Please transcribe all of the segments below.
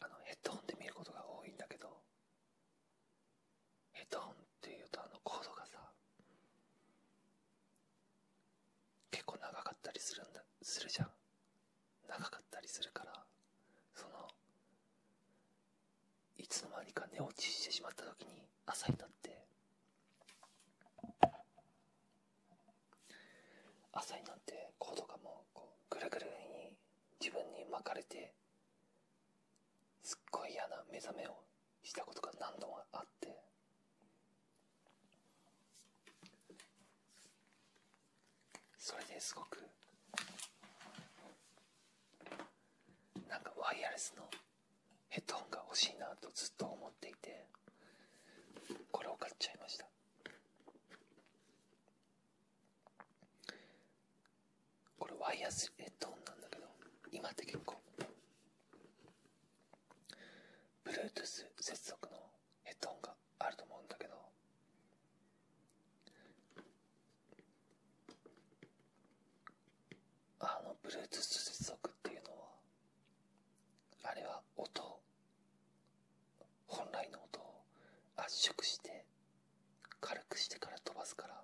あのヘッドホンで見ることが多いんだけどヘッドホンっていうとあのコードがさ結構長かったりするんだするじゃん長かったりするからそのいつの間にか寝落ちしてしまった時に朝になって朝になってコードがもうこうぐるぐるに自分に巻かれてすっごい嫌な目覚めをしたことが何度もあってそれですごくなんかワイヤレスのヘッドホンが欲しいなとずっと思っていてこれを買っちゃいましたこれワイヤースヘッドオンなんだけど今って結構 Bluetooth 接続のヘッドホンがあると思うんだけどあの Bluetooth 接続っていうのはあれは音本来の音を圧縮して軽くしてから飛ばすから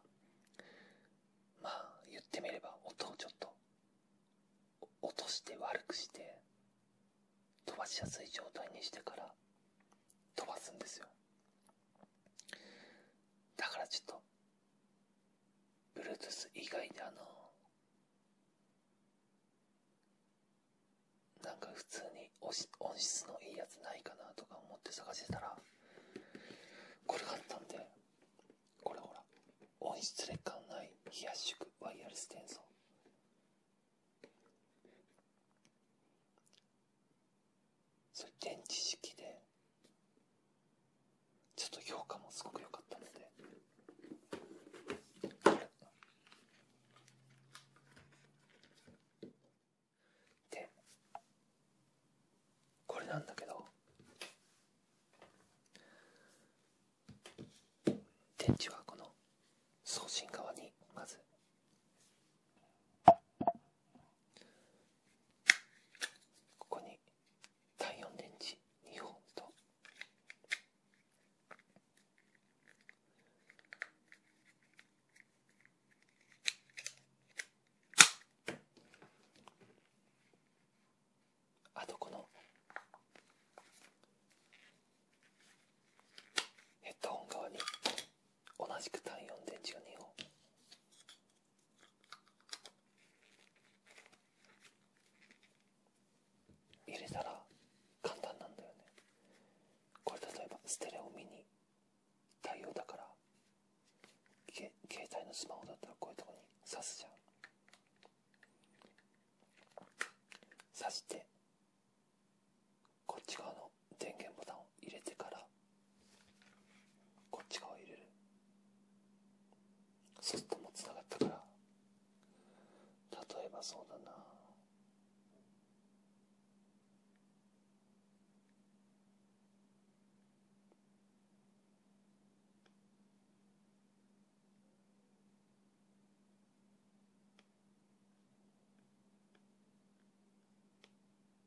まあ言ってみれば音をちょっと落として悪くして飛ばしやすい状態にしてから飛ばすんですよだからちょっと Bluetooth 以外であのなんか普通に音質のいいやつないかなとか思って探してたらこれがあったんでこれほら音質劣化のない非圧縮ワイヤレス転送それ電池式でちょっと評価もすごく良かったのででこれなんだけど電池はこの送信側にまず。ここに太陽電池2本とあとこのヘッドホン側に同じく単四電池が2本入れたら簡単なんだよねこれ例えばステレオ見に。対応だから携帯のスマホだったらこういうとこに挿すじゃん挿してこっち側の電源ボタンを入れてからこっち側入れるそうともうつながったから例えばそうだな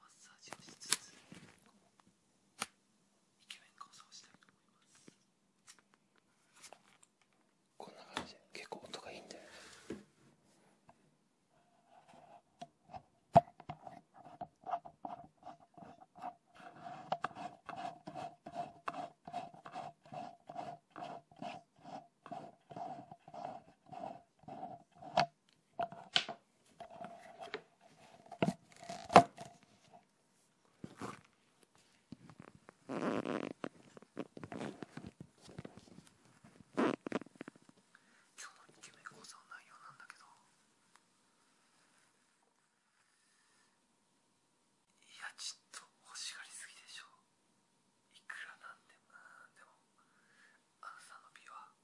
マッサージをしつつイケメン構想したいと思いますこんな感じで結構音がいいんだよね今日のイケメン講座の内容なんだけどいやちょっと欲しがりすぎでしょいくらなんでもうんでもあの美は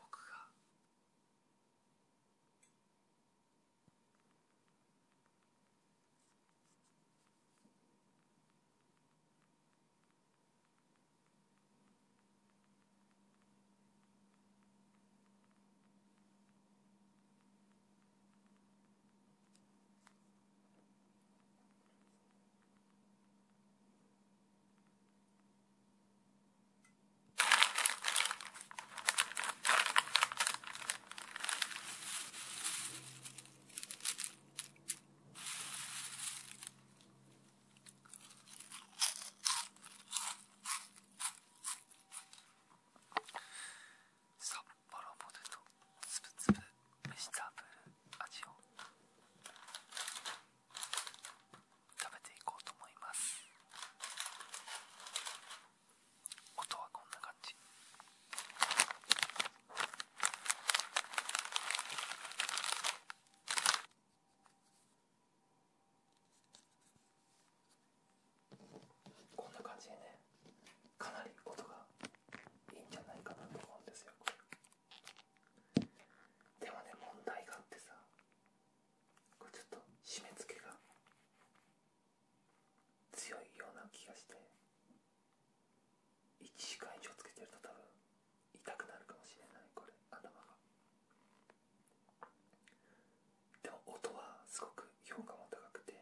僕が「札幌ポテトつぶつぶベジタブル味を食べていこうと思います音はこんな感じこんな感じでねかなり音がいいんじゃないかなと思うんですよこれでもね問題があってさこれちょっと締め付けが強いような気がして1時間以上つけてると多分痛くなるかもしれないこれ頭がでも音はすごく評価も高くて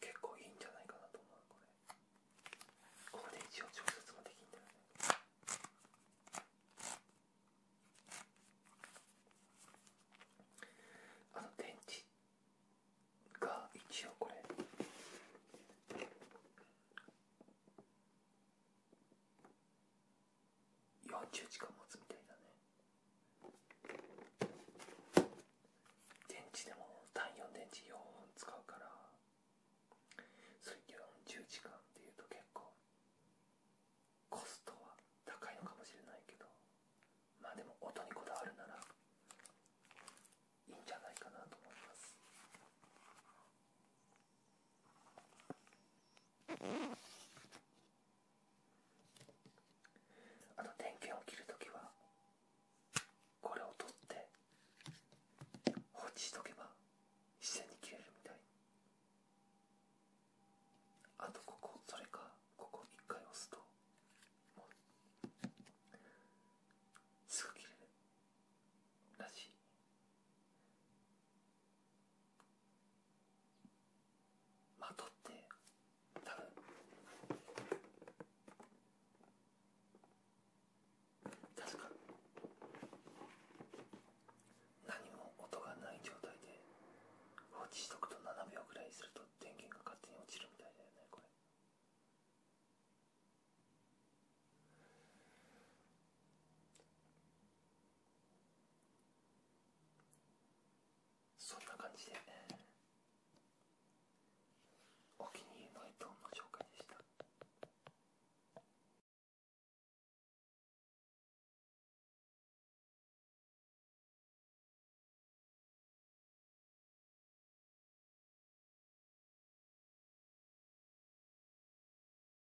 結構いいんじゃないかなと思うこれこれで一応調節もできんだよねあの電池が一応これ40時間持つみたいだね電池でも単4電池4本使うからそれ40時間っていうと結構コストは高いのかもしれないけどまあでも音にこだわるならいいんじゃないかなと思いますあの電源を切るときはこれを取って放置しとけば自然に切れるみたいあとここそれかここ1回押すともうすぐ切れるらしいまとってた多分確か何も音がない状態で放置しとくと7秒ぐらいすると電源が勝手に落ちるみたいだよねこれ。そんな感じで、お気に入りの絵本の紹介でした。